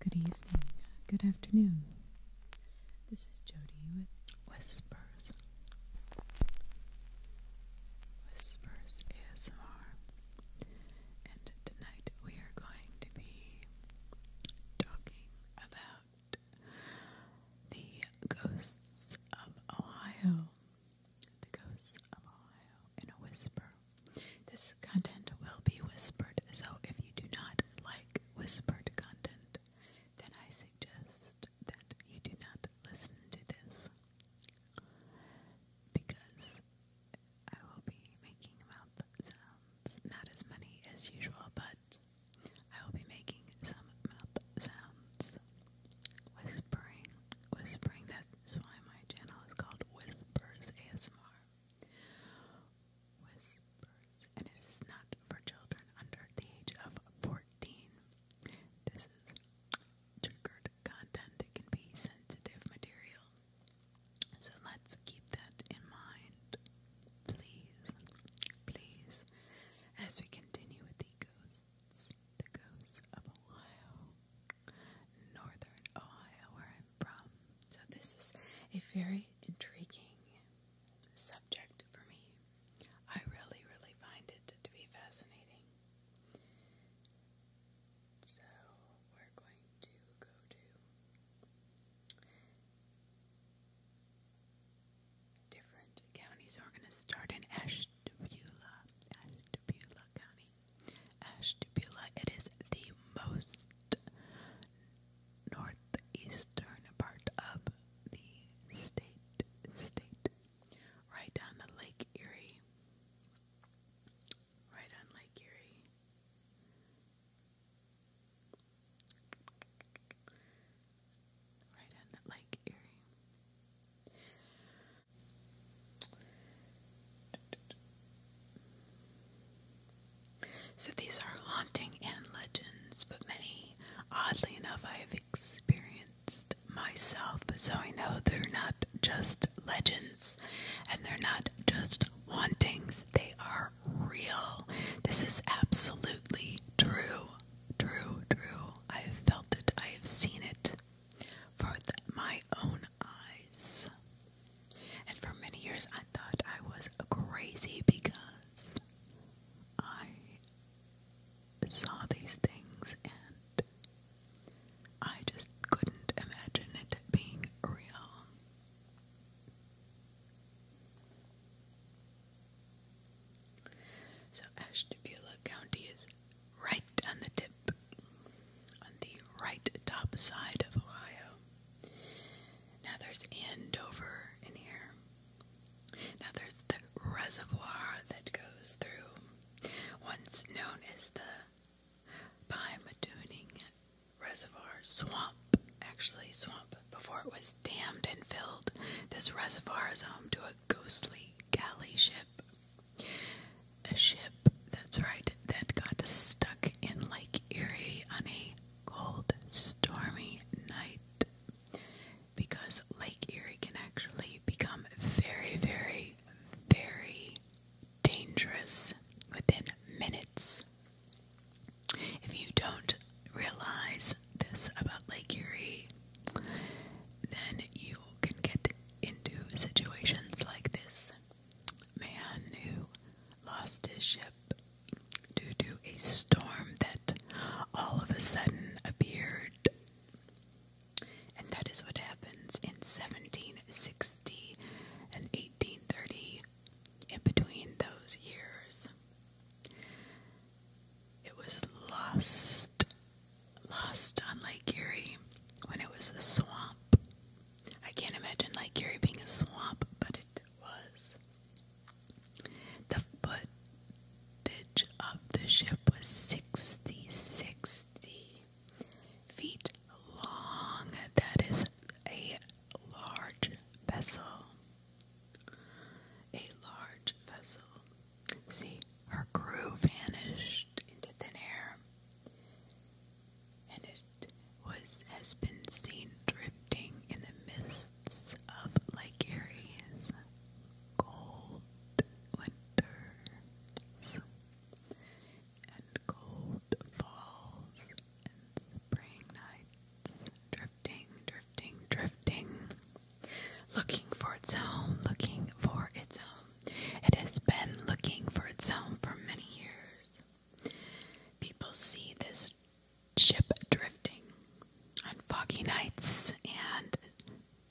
Good evening, good afternoon. This is Jody with Whispers. Whispers ASMR. And tonight we are going to be talking about the ghosts of Ohio. The ghosts of Ohio in a whisper. This content will be whispered, so if you do not like whispered content, then I suggest that you do not listen to this because I will be making mouth sounds, not as many as usual, but I will be making some mouth sounds. Whispering, whispering, that's why my channel is called Whispers ASMR. Whispers, and it is not for children under the age of 14. This is triggered content, it can be sensitive material. So let's keep that in mind, please, please, as we continue with the ghosts, the ghosts of Ohio, northern Ohio, where I so, this is a very intriguing subject for me. I really, really find it to be fascinating. So, we're going to go to different counties. we're going to start in Ashtabula, Ashtabula County. Ashtabula, it is the most northeastern part of the state, state, right down to Lake Erie, right on Lake Erie. Right on Lake Erie. So these are haunting and legends, but many, oddly enough, I have experienced myself, so I know they're not just legends and they're not just hauntings, they are real. This is absolutely true, true, true. I have felt it, I have seen it for my own eyes. And for many years, I thought I was crazy because I saw these things and I just couldn't imagine it being real. So, Ashtabula County is right on the tip, on the right top side of Ohio. Now there's Andover in here. Now there's the reservoir that goes through, once known as the Pymadooning Reservoir Swamp. Actually, swamp. Before it was dammed and filled, this reservoir is home to a ghostly galley ship. A ship, that's right, that got stuck in Lake Erie on cold, stormy night because Lake Erie can actually become very, very, very dangerous within minutes. If you don't realize this about Lake Erie, then you can get into situations like this man who lost his ship due to a storm that all of a sudden appeared. And that is what happens in 1760 and 1830, in between those years. It was lost, lost on Lake Erie when it was a swamp. I can't imagine Lake Erie being a swamp, but it was. The footage of the ship was 60, feet long. That is a large vessel. A large vessel. See, her crew vanished into thin air and it was has been seen drifting in the mists of Lake Erie's cold winters and cold falls and spring nights, drifting, drifting, drifting, looking for its home, looking for its home. It has been looking for its home for many years. People see this ship drifting on foggy nights and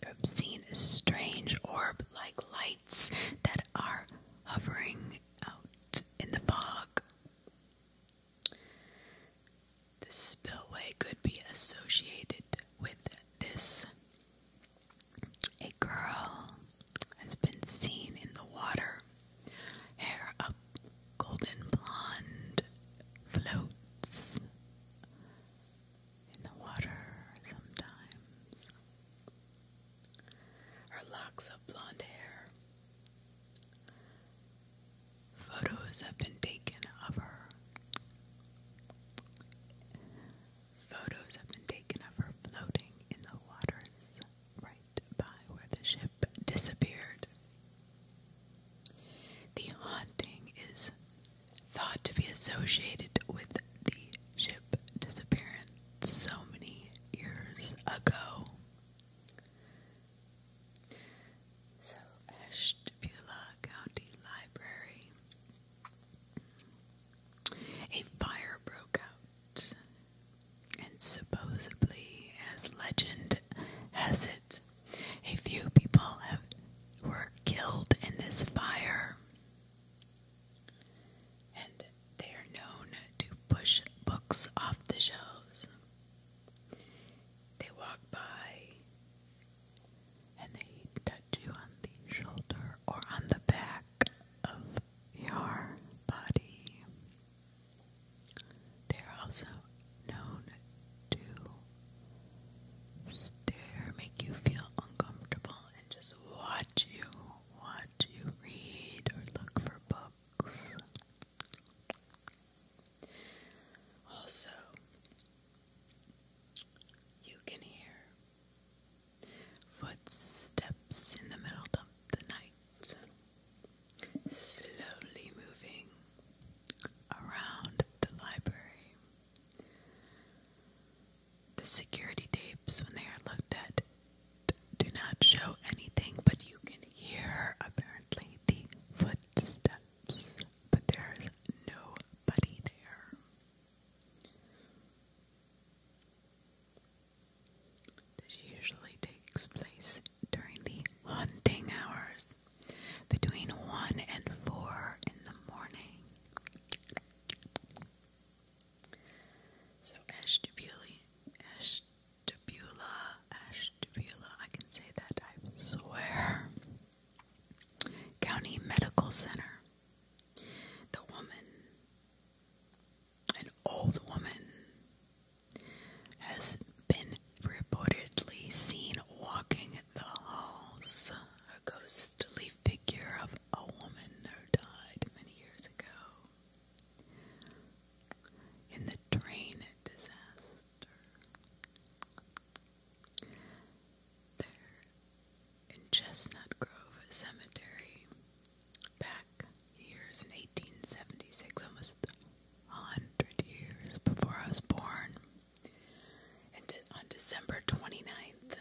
you've seen strange orb like lights that are hovering out in the fog. The spillway could be associated with this. A girl has been seen in the water Hair up, golden blonde, floats in the water sometimes. Her locks of blonde hair. Photos have been taken of her. Photos have been taken of her floating in the waters right by where the ship disappeared. The haunting is thought to be associated with the ship disappearance so many years ago. So, Ashtabula County Library. A fire broke out and supposedly, as legend has it, a few people were killed in this fire. And they are known to push books off the shelves. They walk by and they touch you on the shoulder or on the back of your body. They are also known to stare, make you feel uncomfortable, and just watch you, watch you read or look for books. Also, you can hear footsteps in the middle of the night slowly moving around the library. The security tapes, when they are looked at, do not show anything, but you can hear apparently the footsteps, but there's nobody there. This usually takes place during the hunting hours between 1 and 4 in the morning. So Ashtabula, Ashtabula, Ashtabula, I can say that, I swear. County Medical Center. The woman, an old woman, has been reportedly seen walking the halls. A ghostly figure of a woman who died many years ago in the train disaster. There in Chestnut Grove Cemetery, back years in 1876, almost hundred years before I was born. And on December 29th,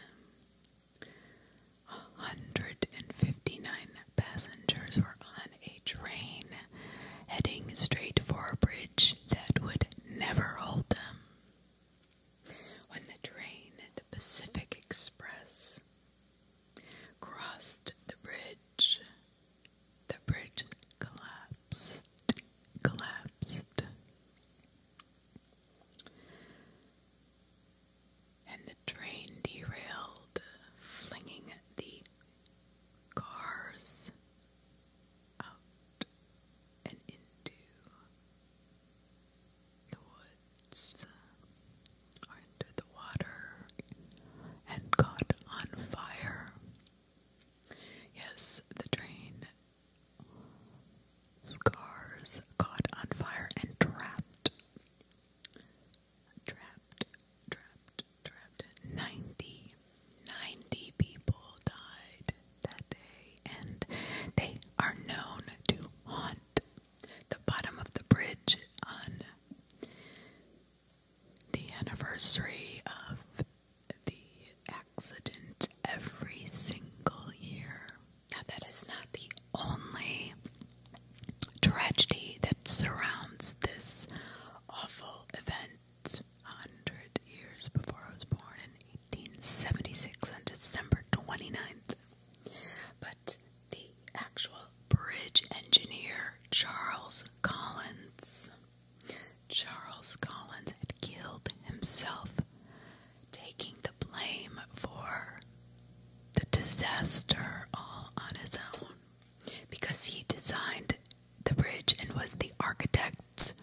159 passengers were on a train heading straight for a bridge that would never hold them. When the train, the Pacific Express, crossed the bridge, the bridge collapsed, collapsed. And the train derailed, flinging the cars out and into the woods or into the water and caught on fire. Yes, the train scars caught on fire and trapped. Trapped, trapped, trapped. 90, people died that day, and they are known to haunt the bottom of the bridge on the anniversary of the accident every single year. Now, that is not the only tragedy that surrounds this awful event. Hundred years before I was born in 1876 on December 29th, but the actual bridge engineer Charles Collins Charles Collins had killed himself, taking the blame for the disaster all on his own because he designed the bridge and was the architect.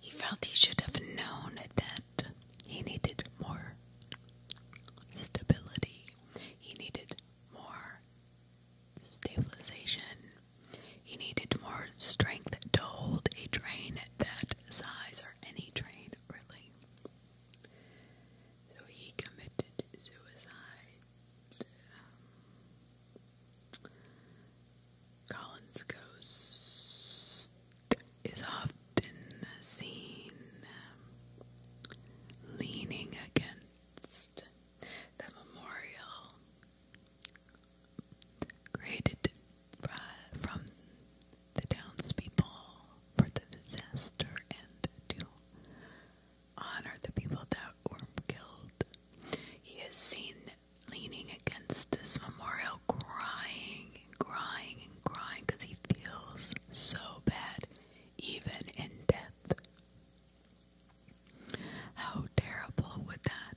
He felt he should have known that he needed more stability. He needed more stabilization. He needed more strength to hold a train that size, or any train really. So he committed suicide. Um, Collins Coast is often seen um, leaning against the memorial created from the townspeople for the disaster and to honor the people that were killed. He is seen leaning against this memorial, crying and crying and crying because he feels so bad, even in death. How terrible would that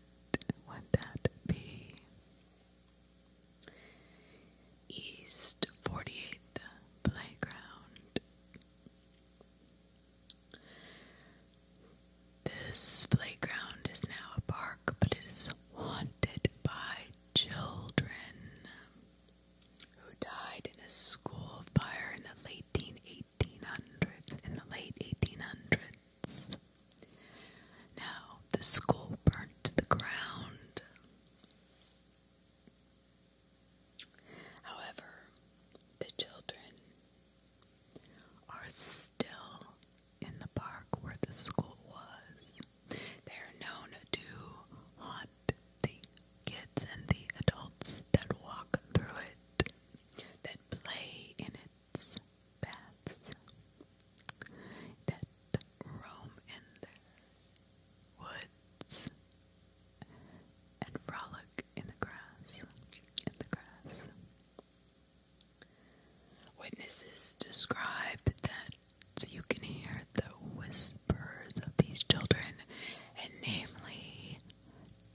would that be? East 48th Playground. This playground is now a park, but it is haunted by children who died in a school fire in the late 1980s. 1800s, in the late 1800s. Now, the school burnt to the ground. However, the children are still in the park where the school was. They are known to haunt the kids and the adults that walk through it that play in its paths, that roam in the woods and frolic in the grass, in the grass. Witnesses describe that you can hear the whispers of these children, and namely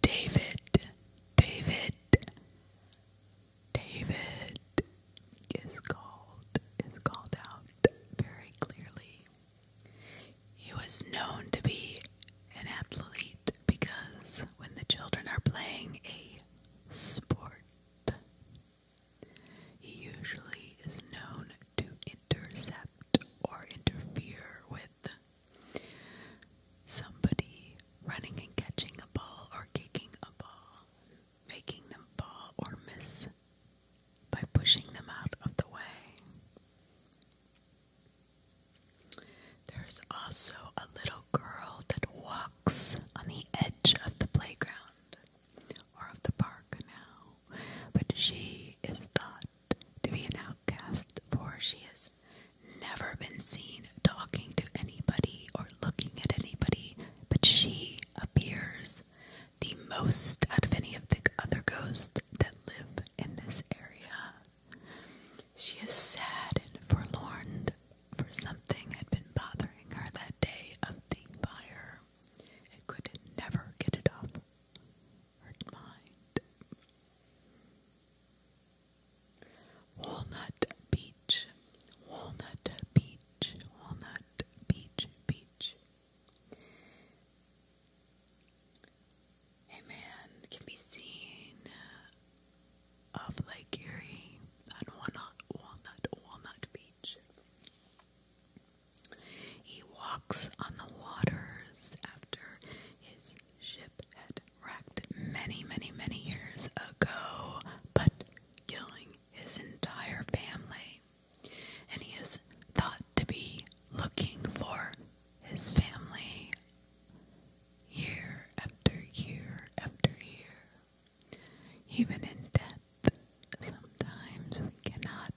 David, David, David is called is called out very clearly. He was known to be an athlete because when the children are playing a sport, he usually is known to intercept or interfere with Somebody running and catching a ball or kicking a ball, making them fall or miss by pushing them out of the way. There's also a little girl that walks on the edge of the playground or of the park now, but she is thought to be an outcast, for she has never been seen talking to anybody or looking at anybody, but she appears the most out of any of the other ghosts that live in this area. She is sad and forlorn, for something had been bothering her that day of the fire and could never get it off her mind. Walnut Beach, Walnut Beach, Walnut Beach, Beach. A man can be seen uh, off Lake Erie on Walnut, Walnut, Walnut Beach. He walks on the waters after his ship had wrecked many, many, many years ago, but killing his entire family. And he is thought to be looking for his family year after year after year. Even in death, sometimes we cannot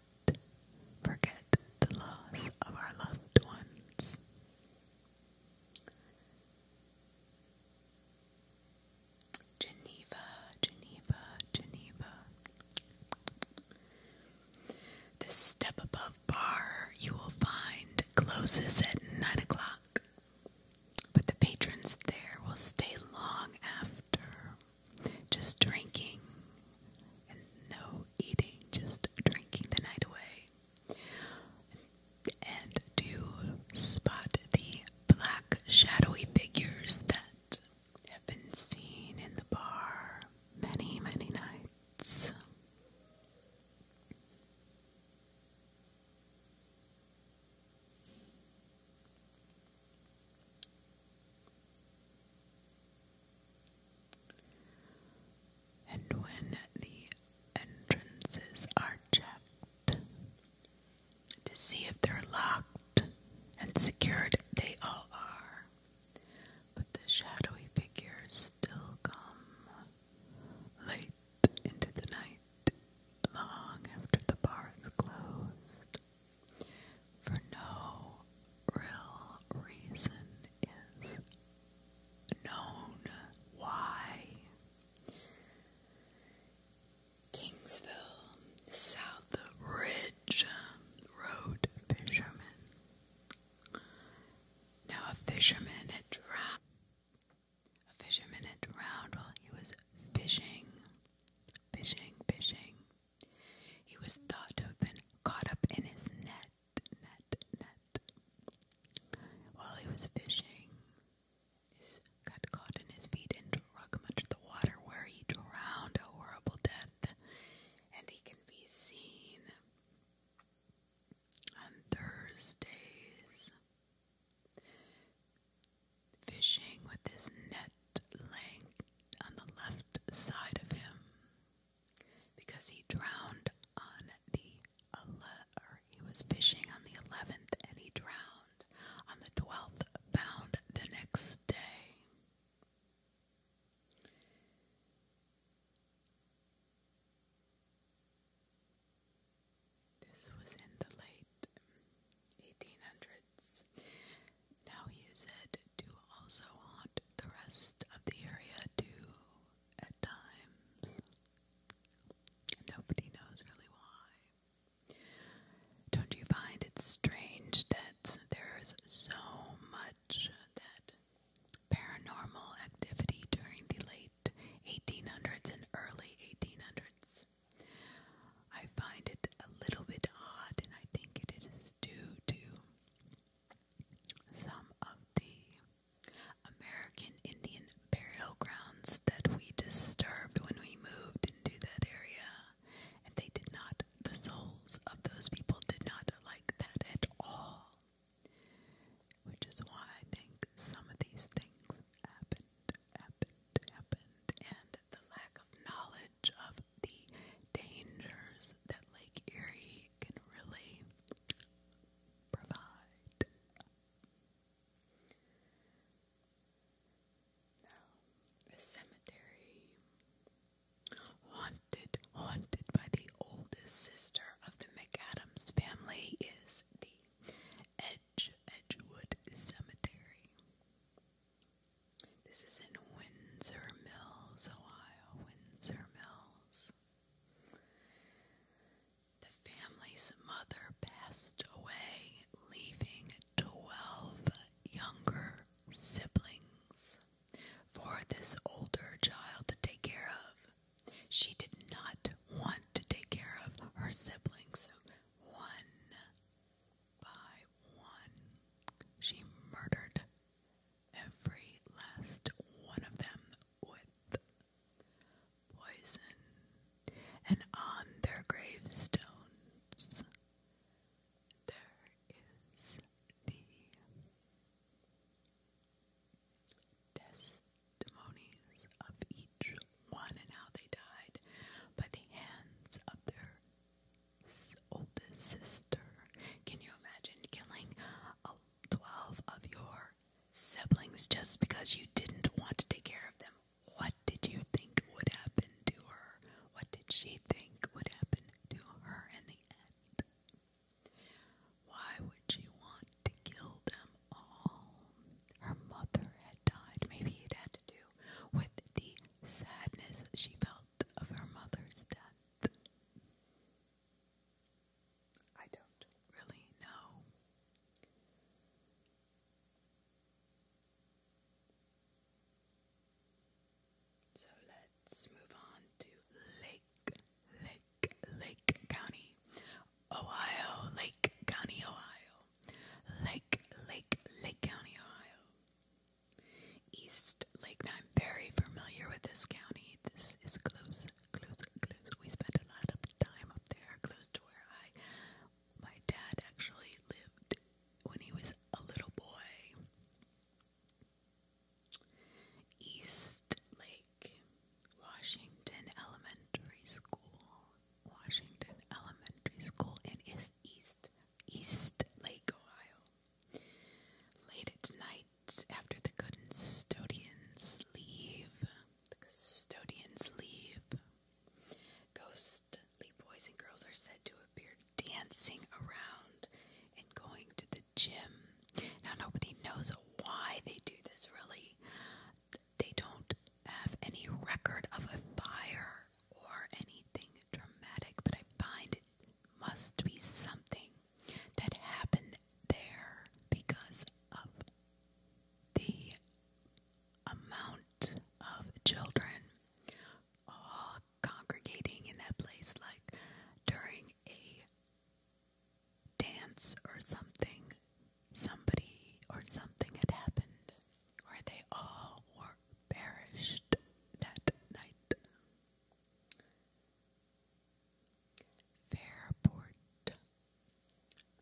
forget the loss of our loved ones. Geneva, Geneva, Geneva. The step above bar you will find closes at nine o'clock, but the patrons there will stay long after, just drinking and no eating, just drinking the night away and do you spot the black shadowy figures that have been seen in the bar many, many nights and when the entrances are checked to see if they're locked and secured, they all are. But the shadowy figures still come late into the night, long after the bars is closed, for no real reason is known why. Kingsville, South Ridge Road fisherman. Now a fisherman had drowned. A fisherman had drowned while he was fishing, fishing, fishing. He was thought to have been caught up in his net, net, net. While he was fishing, he got caught in his feet and dragged much of the water, where he drowned a horrible death, and he can be seen on Thursdays fishing with his net laying on the left side of him because he drowned on the ele he was fishing on the 11th and he drowned on the 12th, found the next day. This was in the late 1800s. Now he is said to also haunt the rest of the area too at times. Nobody knows really why. Don't you find it strange that there's so much that paranormal activity during the late 1800s and early 1800s? I find it a little bit odd, and I think it is due to some of the American Indian burial grounds that we disturbed when we moved into that area. And they did not, the souls of those people did not like that at all. Which is why I think some of these things happened, happened, happened, and the lack of knowledge of the dangers that Lake Erie can really provide. Now, the cemetery, haunted, haunted by the oldest sister of the McAdams family, is the Edge Edgewood Cemetery. This is in Windsor Mills, Ohio. Windsor Mills. The family's mother passed away, leaving 12 younger siblings for this older child to take care of. She did not want to take care of her siblings. One by one, she murdered every last one of them with poison, and on their gravestones there is the testimonies of each one and how they died by the hands of their oldest sister. Can you imagine killing a 12 of your siblings just because you didn't want to take care of them. What did you think would happen to her? What did she think would happen to her in the end? Why would she want to kill them all? Her mother had died. Maybe it had to do with the sadness she felt of her mother's death. I don't really know. So let's move on to Lake, Lake, Lake County, Ohio, Lake County, Ohio, Lake, Lake, Lake County, Ohio. East Lake. I'm very familiar with this county. This is close, close, close. We spent a lot of time up there, close where I my dad actually lived when he was a little boy. East Lake, Washington Elementary School, Washington Elementary School in is East East Lake, Ohio. Late at after the custodians leave, the custodians leave. Ghostly boys and girls are said to appear dancing around and going to the gym. Now, nobody knows why they do this, really. They don't have any record of a fire or anything dramatic, but I find it must be something that happened there because of the amount of children all congregating in that place, like during a dance or something, somebody or something had happened where they all were perished that night. Fairport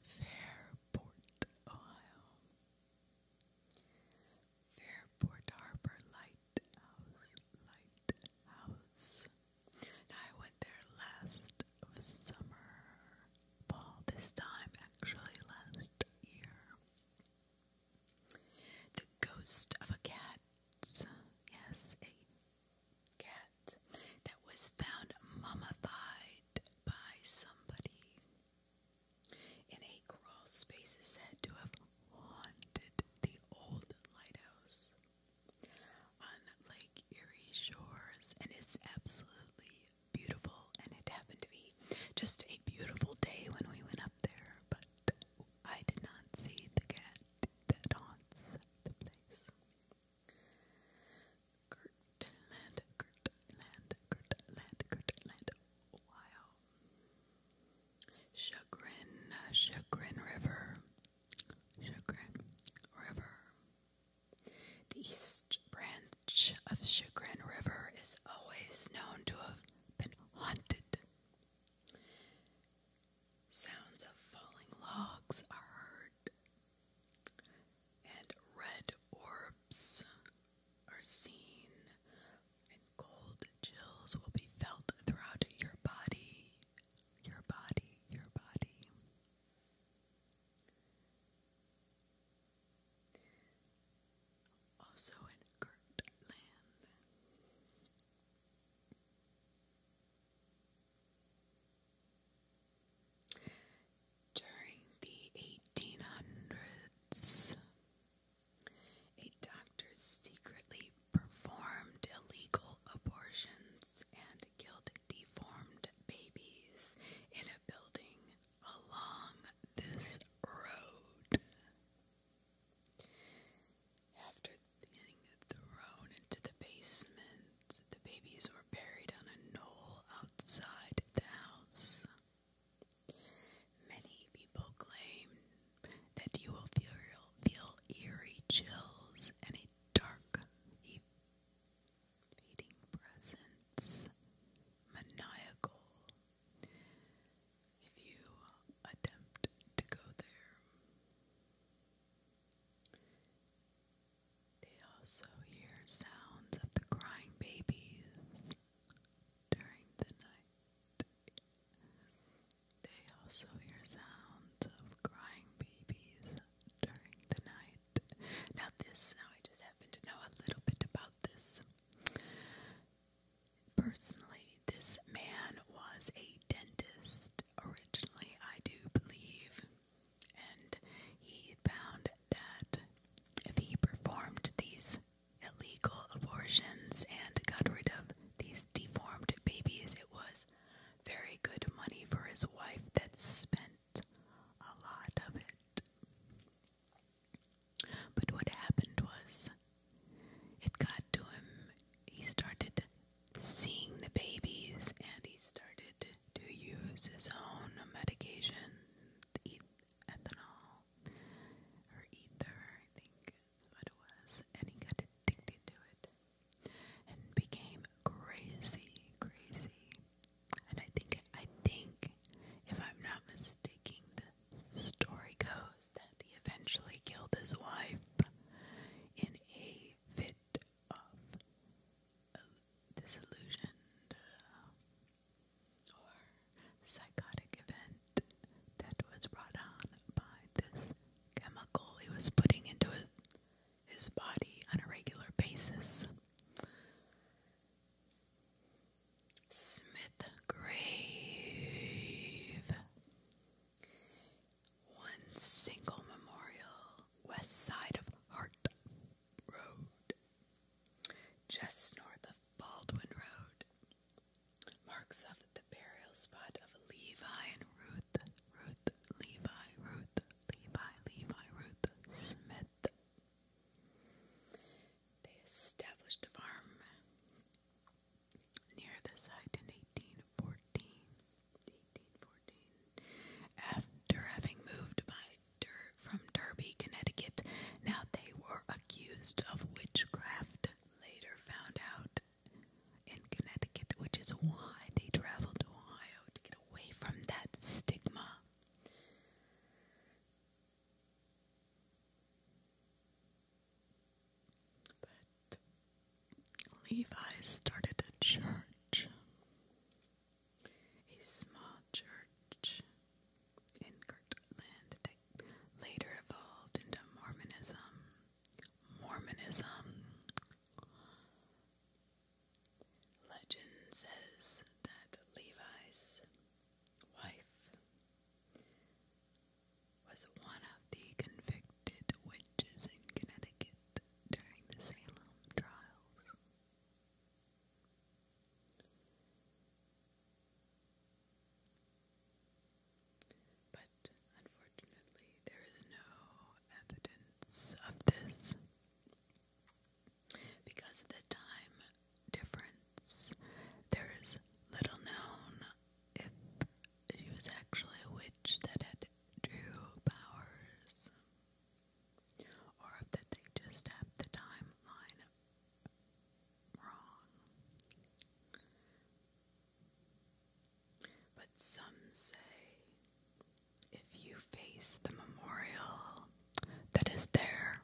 Fairport, Ohio. Fairport Harbor Lighthouse, Lighthouse. Now I went there last summer, fall this time actually last year. The ghost of a cat, yes, a cat that was found mummified by somebody in a crawl space is said to have haunted the old lighthouse on Lake Erie shores, and it's absolutely beautiful. And it happened to be just a beautiful day when we went up there, but I did not see the cat that haunts the place. Kirtland, Kirtland, Kirtland, Kirtland, Ohio. Chagrin, Chagrin River, Chagrin River. The east branch of Chagrin River is always known to have been haunted. Sounds of falling logs are heard and red orbs are seen, and cold chills will be felt throughout your body, your body, your body. Also in Kirtland. During the 1800s, a doctor secretly performed illegal abortions and killed deformed babies in a building along this road. After being thrown into the basement, the babies were buried on a knoll outside the house. Many people claim that you will feel, feel eerie chills and a dark, fading presence, maniacal. If you attempt to go there, they also hear sounds of the crying babies during the night. They also hear sounds of crying babies during the night. Now, this, now I just happen to know a little bit about this. Personally, this man was a dentist. Originally, I do believe and he found that if he performed these illegal abortions and got rid of these deformed babies, it was very good money for his wife that spent a lot of it. But what happened was it got to him, he started seeing the babies and he started to use his own medication ethanol or ether, I think is it was, and he got addicted to it and became crazy, crazy. And I think, I think, if I'm not mistaken, the story goes that he eventually killed his wife in a fit of disillusioned uh, or psychotic event that was brought on by this chemical he was putting into his, body on a regular basis. Smith Grave. One single memorial, west side of Hart Road, just north of Baldwin Road, marks of the burial spot of Levi and Ruth, Ruth, Levi, Ruth, Levi, Levi, Ruth Smith. They established a farm near the site in 1814. 1814 after having moved by from Derby, Connecticut. Now they were accused of witchcraft. Later found out in Connecticut, which is why they traveled to Ohio to get away from that stigma. But Levi started a church a small church in Kirtland that later evolved into Mormonism. Mormonism. Legend says that Levi's wife was one of the convicted witches in Connecticut during the Salem trials. But unfortunately, there is no evidence of this because of the time difference. There is little known if she was actually a witch that had true powers or if that they just have the timeline wrong. But some say if you face the memorial that is there,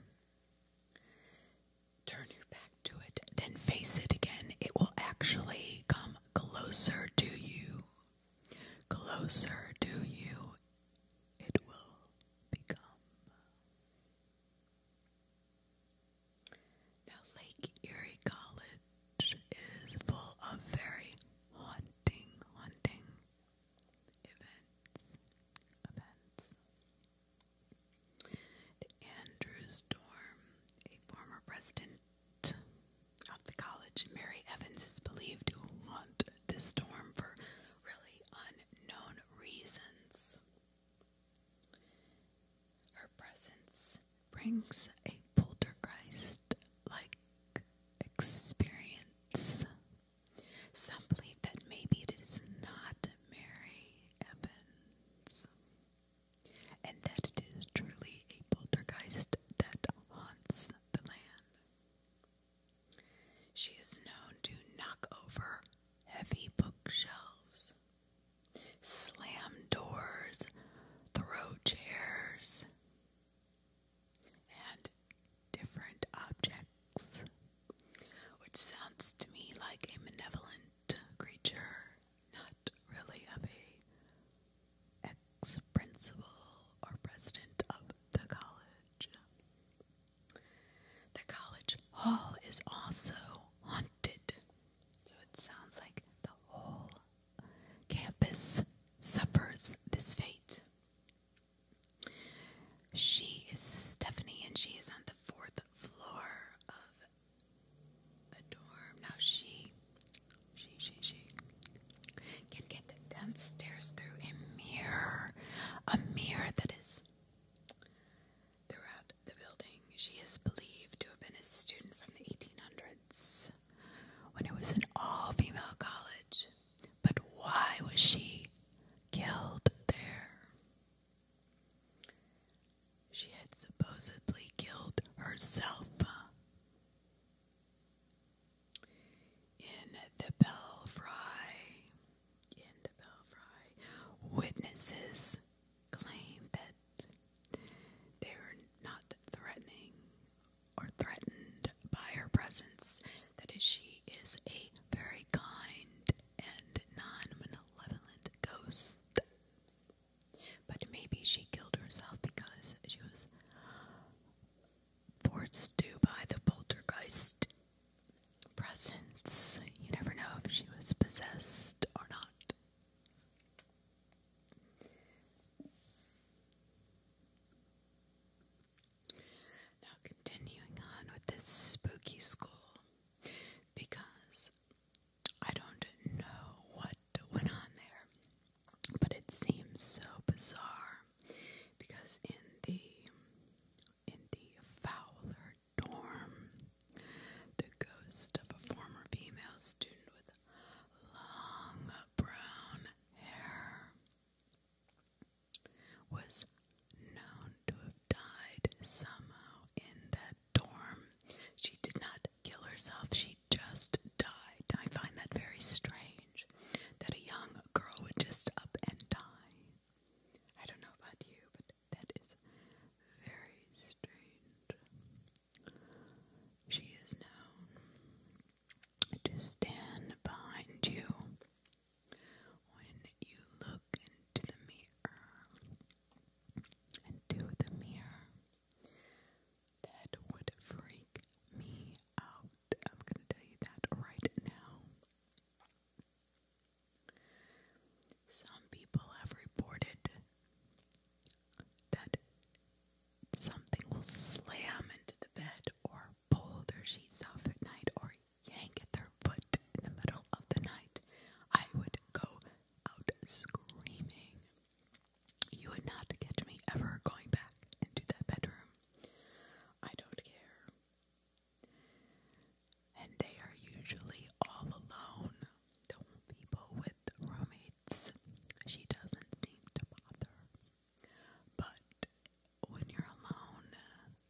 turn your back to it, then face it again, it will actually come closer to you. Closer to you, it will now, Lake Erie College is full of very haunting, haunting events. Events. The Andrews dorm, a former president of the college, Mary Evans, is believed to haunt this storm for really unknown reasons. Her presence brings a poltergeist like experience. Some believe that maybe it is not Mary Evans and that it is truly a poltergeist that haunts the land. She is known to knock over heavy bookshelves, slam doors, throw chairs, and different objects, which sounds to me like a malevolent creature, not really of a ex-principal or president of the college. The college hall is also haunted. So it sounds like the whole campus suffers this fate. She is Stephanie and she is on the fourth floor of a dorm. Now she she she she can get downstairs through a mirror. A mirror that is Throughout the building, she is believed to have been a student from the 1800s when it was an all female college. But why was she killed there? She had supposedly killed herself. In the Belfry in the Belfry, witnesses claim that they were not threatening or threatened by her presence, that she is a very kind and non ghost. But maybe she killed herself because she was forced to by the poltergeist presence. You never know if she was possessed or not. Now, continuing on with this spooky school, because I don't know what went on there, but it seems so bizarre. Because in the in the Fowler dorm. The ghost of a former female student with long brown hair was known to have died somehow in that dorm. She did not kill herself, she just died. I find that very strange that a young girl would just up and die. I don't know about you, but that is very strange. She is known to stand behind you when you look into the mirror. and Into the mirror. That would freak me out. I'm gonna tell you that right now. Some people have reported that something will slam into the bed or pull their sheets off at night or yank at their foot in the middle of the night. I would go out screaming. You would not catch me ever going back into that bedroom. I don't care. And they are usually all alone. Don't people with roommates. She doesn't seem to bother. But when you're alone,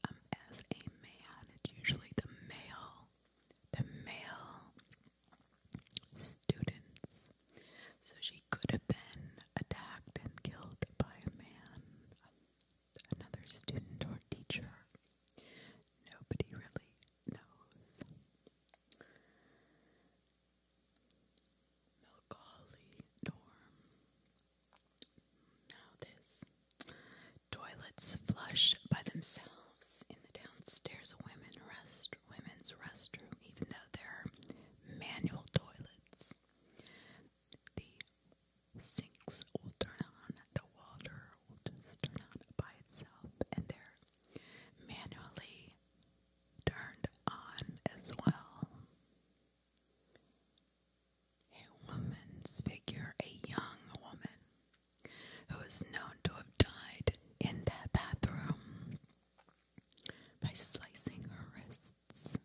um, as a man, it's usually the male, the male students. So she could have been attacked and killed by a man, another student or teacher. Nobody really knows. Macaulay Norm. Now this. Toilets flush by themselves in the downstairs women rest women's restroom, even though there are manual toilets the sinks will turn on, the water will just turn on by itself, and they're manually turned on as well. A woman's figure, a young woman, who is known to have died in that bathroom by slicing her wrists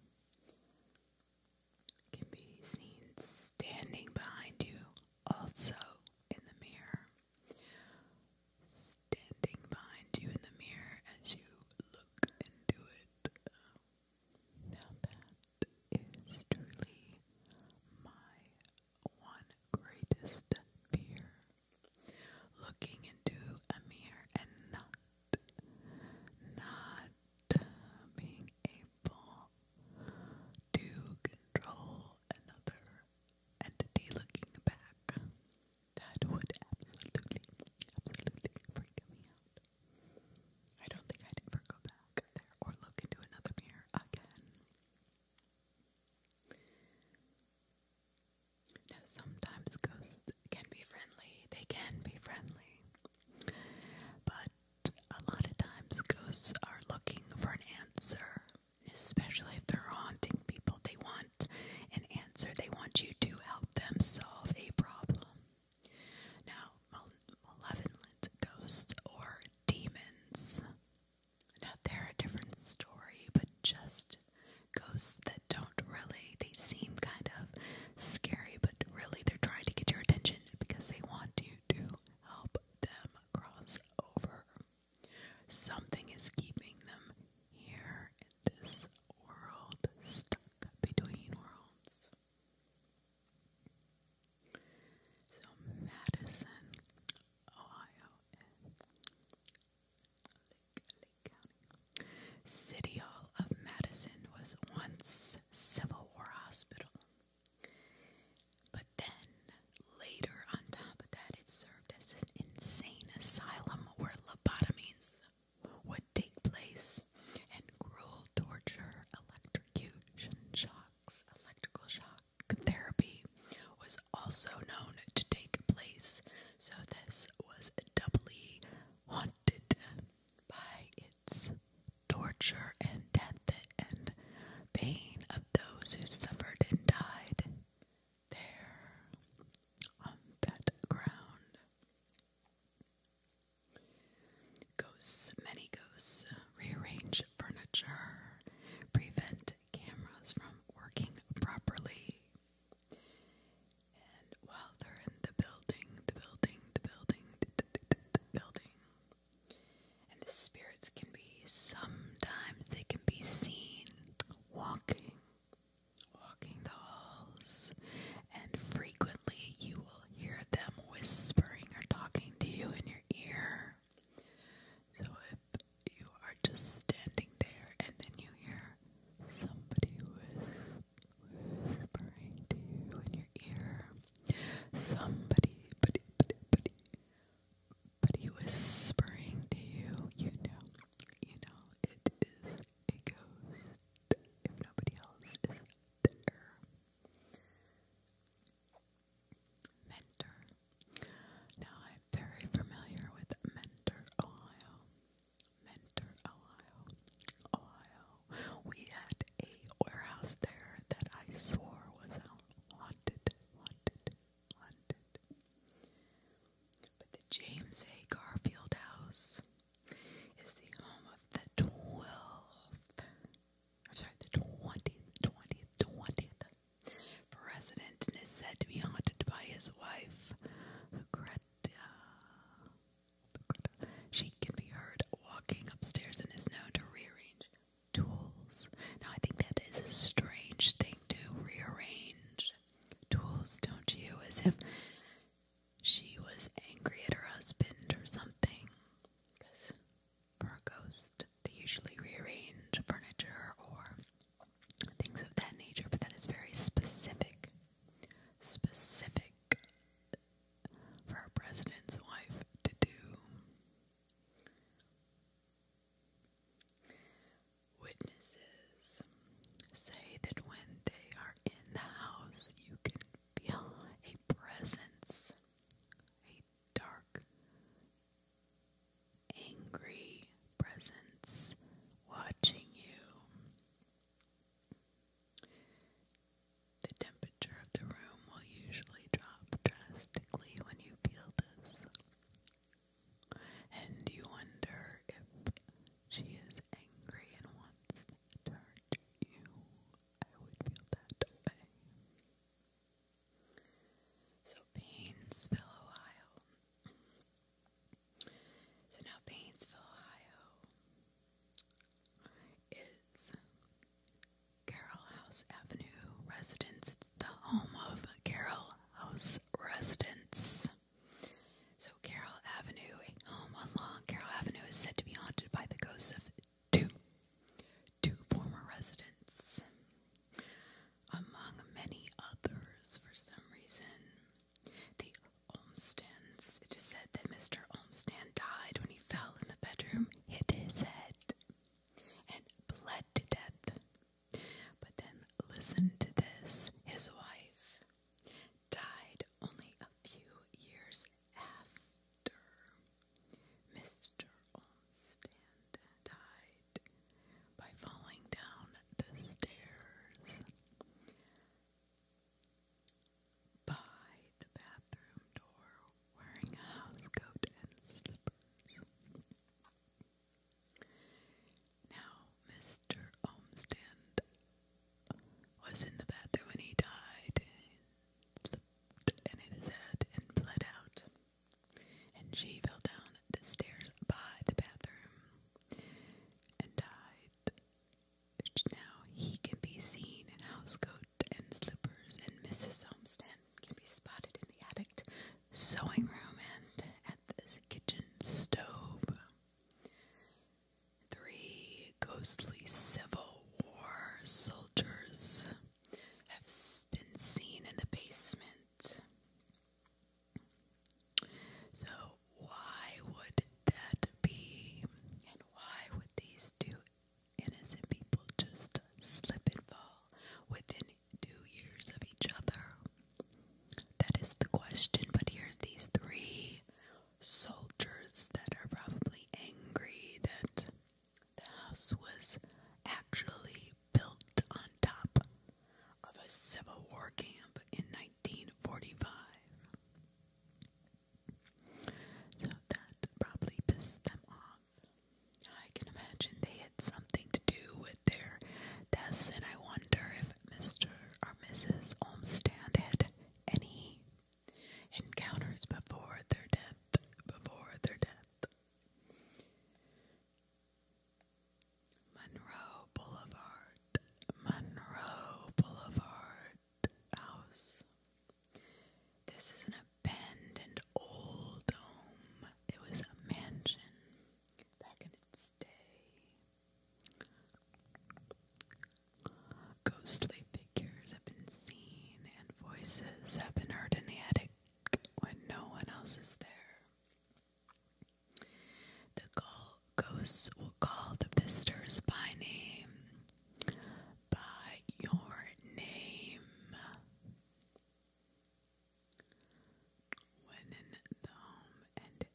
can be seen standing behind you, also in the mirror. Standing behind you in the mirror as you look into it. Now, that is truly my one greatest fear. Looking into a mirror and not, not being able to control another entity looking back. That would absolutely, absolutely freak me out. I don't think I'd ever go back there or look into another mirror again. Now, sometimes ghosts can be friendly, they can be friendly, but a lot of times ghosts are looking for an answer, especially if they're haunting people. They want an answer, they want you to help them solve a problem. Now, malevolent ghosts or demons. Now, they're a different story, but just ghosts that don't really, they seem kind of scary, but really they're trying to get your attention because they want you to help them cross over. Something is keeping them here in this world, stuck between worlds. So, Madison, Ohio, Lake County. City Hall of Madison was once Civil War Hospital. But then, later, on top of that, it served as an insane asylum where lobotomies would take place and cruel torture, electrocution shocks, electrical shock therapy was also known to take place. So, this was doubly haunted by its torture and death and pain of those who suffered and died there on that ground. Ghosts, many ghosts, rearrange furniture, prevent cameras from working properly. And while they're in the building, the building, the building, the, building, and the spirits can be sometimes they can be seen walking, walking the halls, and frequently you will hear them whispering or talking to you in your ear. So if you are just standing there and then you hear somebody whispering to you in your ear, Somebody, buddy, buddy, buddy, buddy whispering to you, you know, you know, it is a ghost if nobody else is there. Mentor. Now I'm very familiar with Mentor, Ohio. Mentor, Ohio. Ohio. We had a warehouse there that I swore was out haunted, haunted, haunted. But the James A. Garfield House is the home of the 12th, I'm sorry, the 20th, 20th, 20th president and is said to be haunted by his wife, Greta. She can be heard walking upstairs and is known to rearrange tools. Now, I think that is a strange thing to rearrange tools, don't you? As if she was angry at her husband or something. Because for a ghost, they usually rearrange furniture or things of that nature, but that is very specific. Specific for a president's wife to do. Witnesses say that when they are in the house, you can feel a presence, a dark, angry presence watching you. The temperature temperature of the room will usually drop drastically when you peel this. And you wonder if she is angry and wants to hurt you. I would feel that way. So Painesville, Ohio. So now Painesville, Ohio is Carroll House Avenue residence. It's the home of Carroll House residence. So Carroll Avenue, home along Carroll Avenue, is said to be haunted by the ghosts of two, two former residents, among many others. For some reason, the Olmstans. It is said that Mr. Olmstead died when he fell in the bedroom, hit his head, and bled to death. But then, listen to this his wife died only a few years after Mr. Olmstand died by falling down the stairs by the bathroom door wearing a housecoat and slippers. Now, Mr. Olmsted was in the bathroom when he died. He slipped and hit his head and bled out. And she fell down the stairs by the bathroom and died. Now he can be seen in housecoat and slippers and Mrs. Homestead can be spotted in the attic sewing room and at the kitchen stove. Three ghostly Civil War soldiers have been seen in the basement. So, why would that be? And why would these two innocent people just slip and fall within two years of each other? That is the question, but here's these three soldiers that are probably angry that the house was actually built on top of a Civil War camp in 1945. So that probably pissed them off. I can imagine they had something to do with their deaths, and I wonder if Mr. or Mrs. Olmstead had any encounters before their death. Before their death. Monroe Boulevard, Monroe Boulevard House. This is an Bend and Oldham. It was a mansion back in its day. Ghostly figures have been seen and voices have been heard in the attic when no one else is there. The ghosts will call the visitors by name. By your name. When in the home and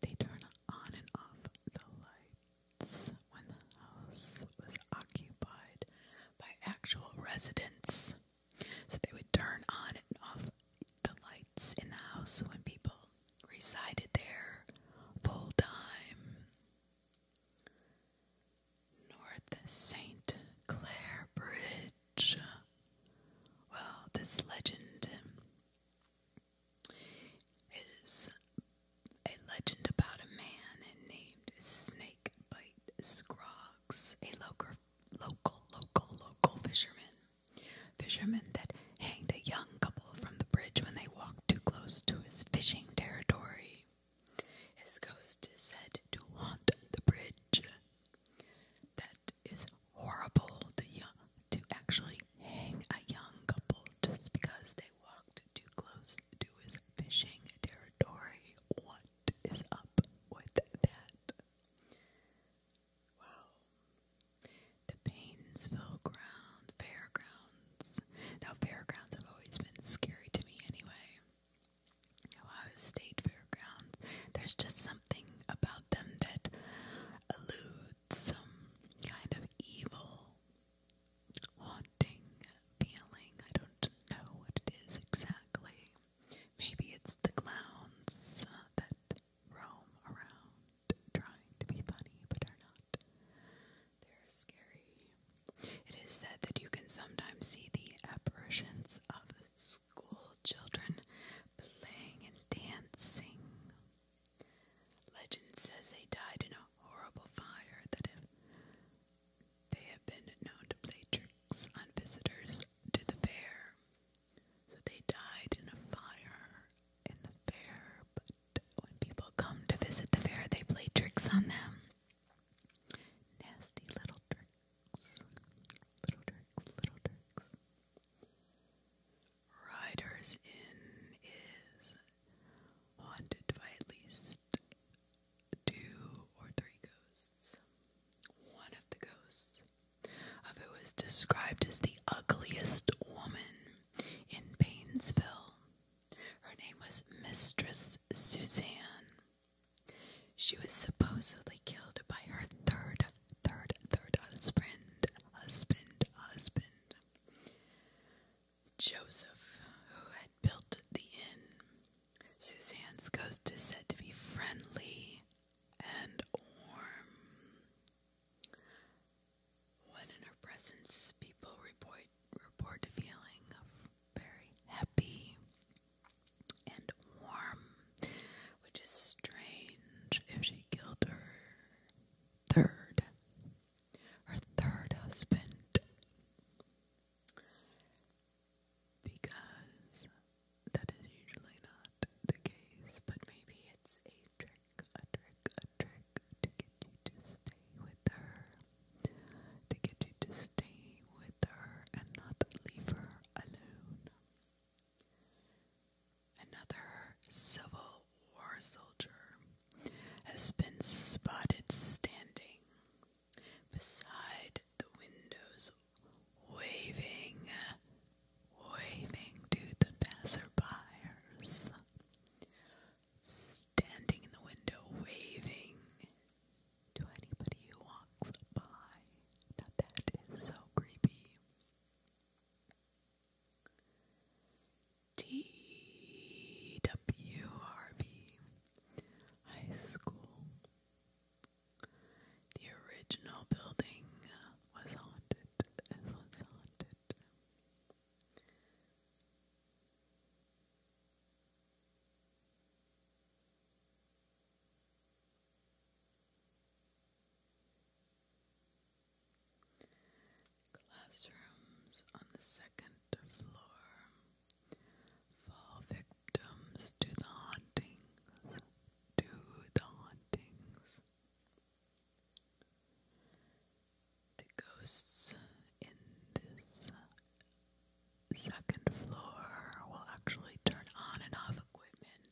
they turn on and off the lights when the house was occupied by actual residents. So they would turn on and off the lights in the house when people resided there full time. North St. Clair Bridge. Well, this legend is a legend about a man named Snakebite Scroggs, a local, local, local, local fisherman. Fisherman that hanged a young couple from the bridge when they walked too close to his fishing territory. His ghost is said to haunt the bridge. That is horrible to, actually hang a young couple just because they walked too close to his fishing territory. What is up with that? Wow. The Painesville Ground Fairgrounds. Now, fairgrounds have always been scary to me anyway. Ohio State Fairgrounds. There's just something about them that eludes some kind of evil, haunting feeling. I don't know what it is exactly. Maybe it's the clowns uh, that roam around trying to be funny but are not. They're scary. It is said that you can sometimes see the apparitions of school children playing and dancing. Legend says they died in a horrible fire that if they have been known to play tricks on visitors to the fair. So they died in a fire in the fair, but when people come to visit the fair, they play tricks on them. Nasty little tricks. Little tricks, little tricks. Riders Inn is haunted by at least two or three ghosts. One of the ghosts of who is described as the ugliest woman in Painesville. Her name was Mistress Suzanne. She was supposedly killed by her third, third, third husband, husband, husband. Joseph, who had built the inn. Suzanne's ghost is said to be friendly and warm. When in her presence, people report report feeling very happy and warm, which is strange if she killed her third, her third husband, because that is usually not the case, but maybe it's a trick, a trick, a trick to get you to stay with her, to get you to stay with her and not leave her alone. Another Civil War soldier has been spotted standing beside the windows, waving, waving to the passerbyers. Standing in the window, waving to anybody who walks by. Now that is so creepy. TWRV High School. The original building was haunted. It was haunted. Classrooms on the second floor fall victims to the hauntings, to the hauntings. The ghosts in this second floor will actually turn on and off equipment,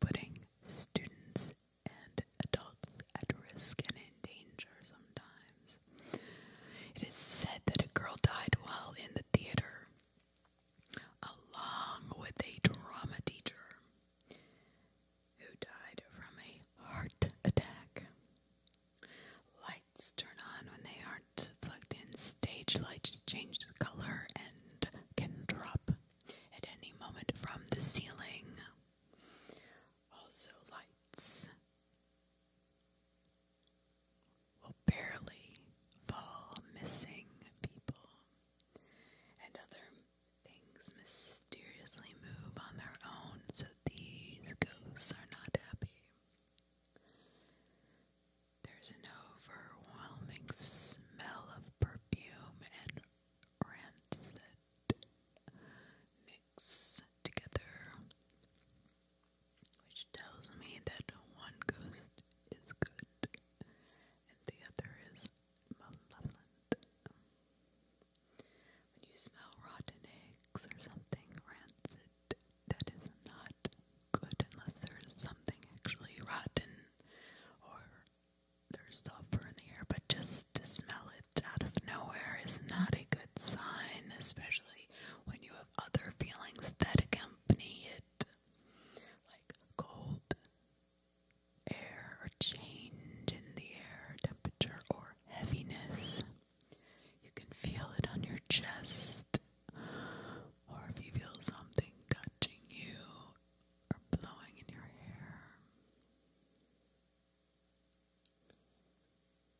putting students and adults at risk and in danger sometimes. It is said that a girl died while in the theater, along with a drama teacher who died from a heart attack. Lights turn on when they aren't plugged in, stage lights change the color and can drop at any moment from the ceiling. Also, lights will barely fall, missing people and other things mysteriously move on their own, so these ghosts are not happy. There's an overwhelming smell of perfume and rancid mix together, which tells me that one ghost is good and the other is malevolent. When you smell rotten eggs or something rancid, that is not good unless there's something actually rotten or there's sulfur in the air, but just to smell it out of nowhere is not a good sign, especially when you have other feelings that accompany it, like cold air or change in the air temperature or heaviness. You can feel it on your chest or if you feel something touching you or blowing in your hair.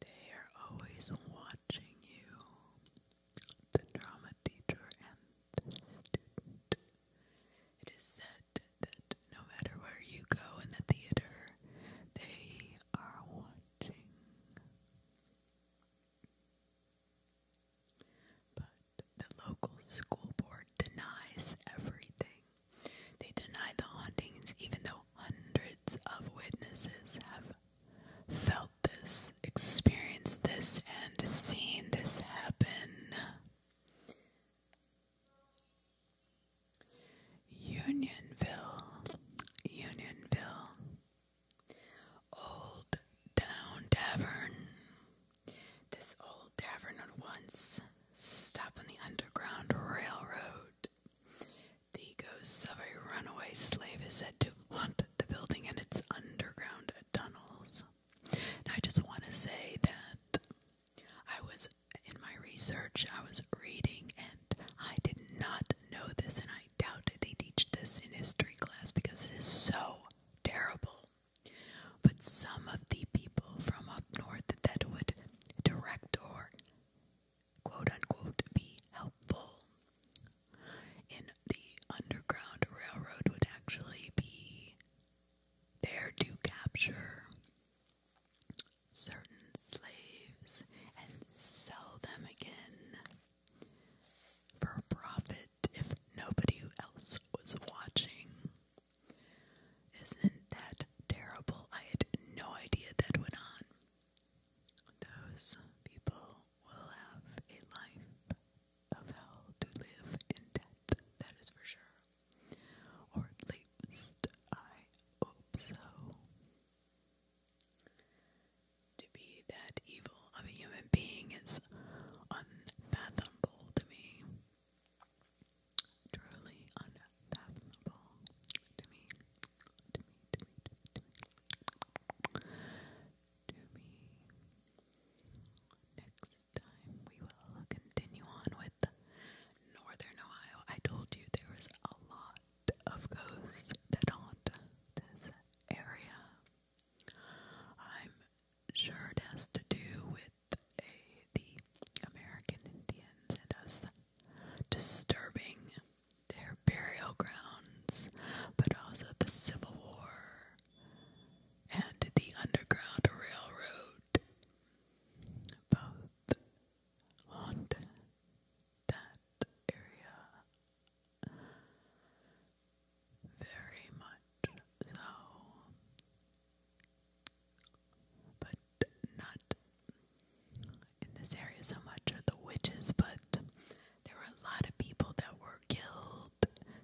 They are always watching you, the drama teacher and It is said that no matter where you go in the theater, they are watching. But the local school board denies everything. They deny the hauntings, even though hundreds of witnesses have felt this, experienced this, and seen this happen. Unionville, Unionville, Old Down Tavern. This old tavern once stopped on the Underground Railroad. The ghosts of a runaway slave is said to haunt the building and its underground tunnels. I just want to say that I was in my research, I was reading, and I did not know this, and I doubt they teach this in history class because it is so terrible. But some of the people from up north that would direct or quote unquote be helpful in the Underground Railroad would actually be there to capture certain slaves and sell them again for profit if nobody else was watching. Isn't that terrible? I had no idea that went on. Those people will have a life of hell to live in death, that is for sure. Or at least I hope so. To be that evil level of a human being is unfathomable to me. Truly unfathomable to me. To me, to me, to me, to me. Next time we will continue on with Northern Ohio. I told you there was a lot of ghosts that area. I'm sure it has to do with the American Indians and us disturbing their burial grounds, but also the Civil War and the Underground Railroad. Both haunt that area. Very much so. But not in this area so much are the witches, but there were a lot of people that were killed,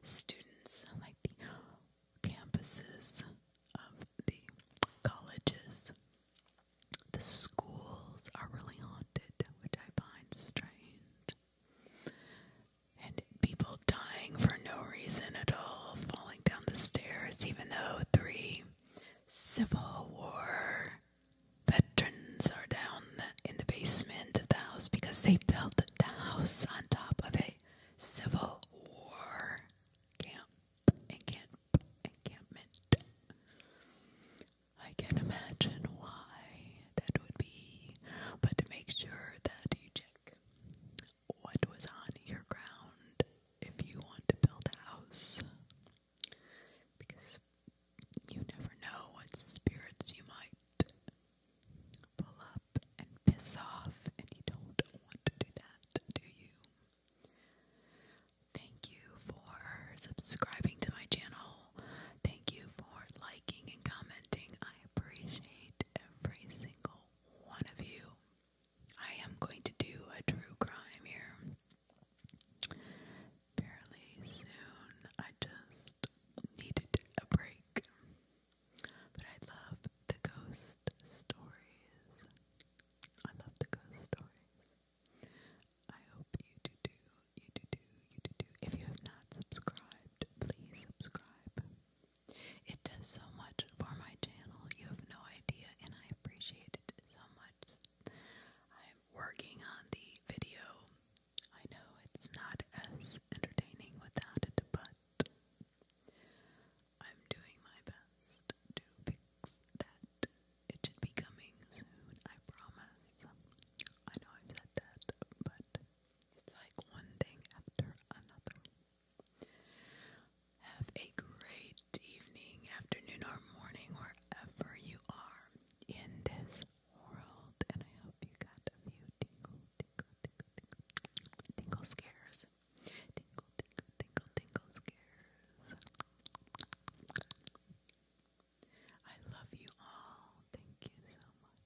students, like the campuses of the colleges. The schools are really haunted, which I find strange. And people dying for no reason at all, falling down the stairs, even though three Civil War veterans are down in the basement of the house because they built the house on top of a Civil War camp and encampment. I can imagine why that would be, but to make sure that you what was on your ground if you want to build a house because you never know what spirits you might pull up and piss off and you don't want to do that, do you? Thank you for subscribing to my channel. Thank you for liking and commenting. I appreciate every single one of you. I am going to do a true crime here fairly soon. I just needed a break. But I love the ghost stories. I love the ghost stories. I hope you do, do, you do, do, you do, do. If you have not subscribed, please subscribe. It does so much for my channel. You have no idea, and I appreciate it so much. I'm working on the video. I know it's not as entertaining without it, but I'm doing my best to fix that. It should be coming soon, I promise. I know I've said that, but it's like one thing after another. Have a great evening, afternoon, or morning, wherever you are in this world. And I hope you got a few tingle, tingle, tingle, tingle, scares. Tingle, tingle, tingle, tingle scares. I love you all. Thank you so much.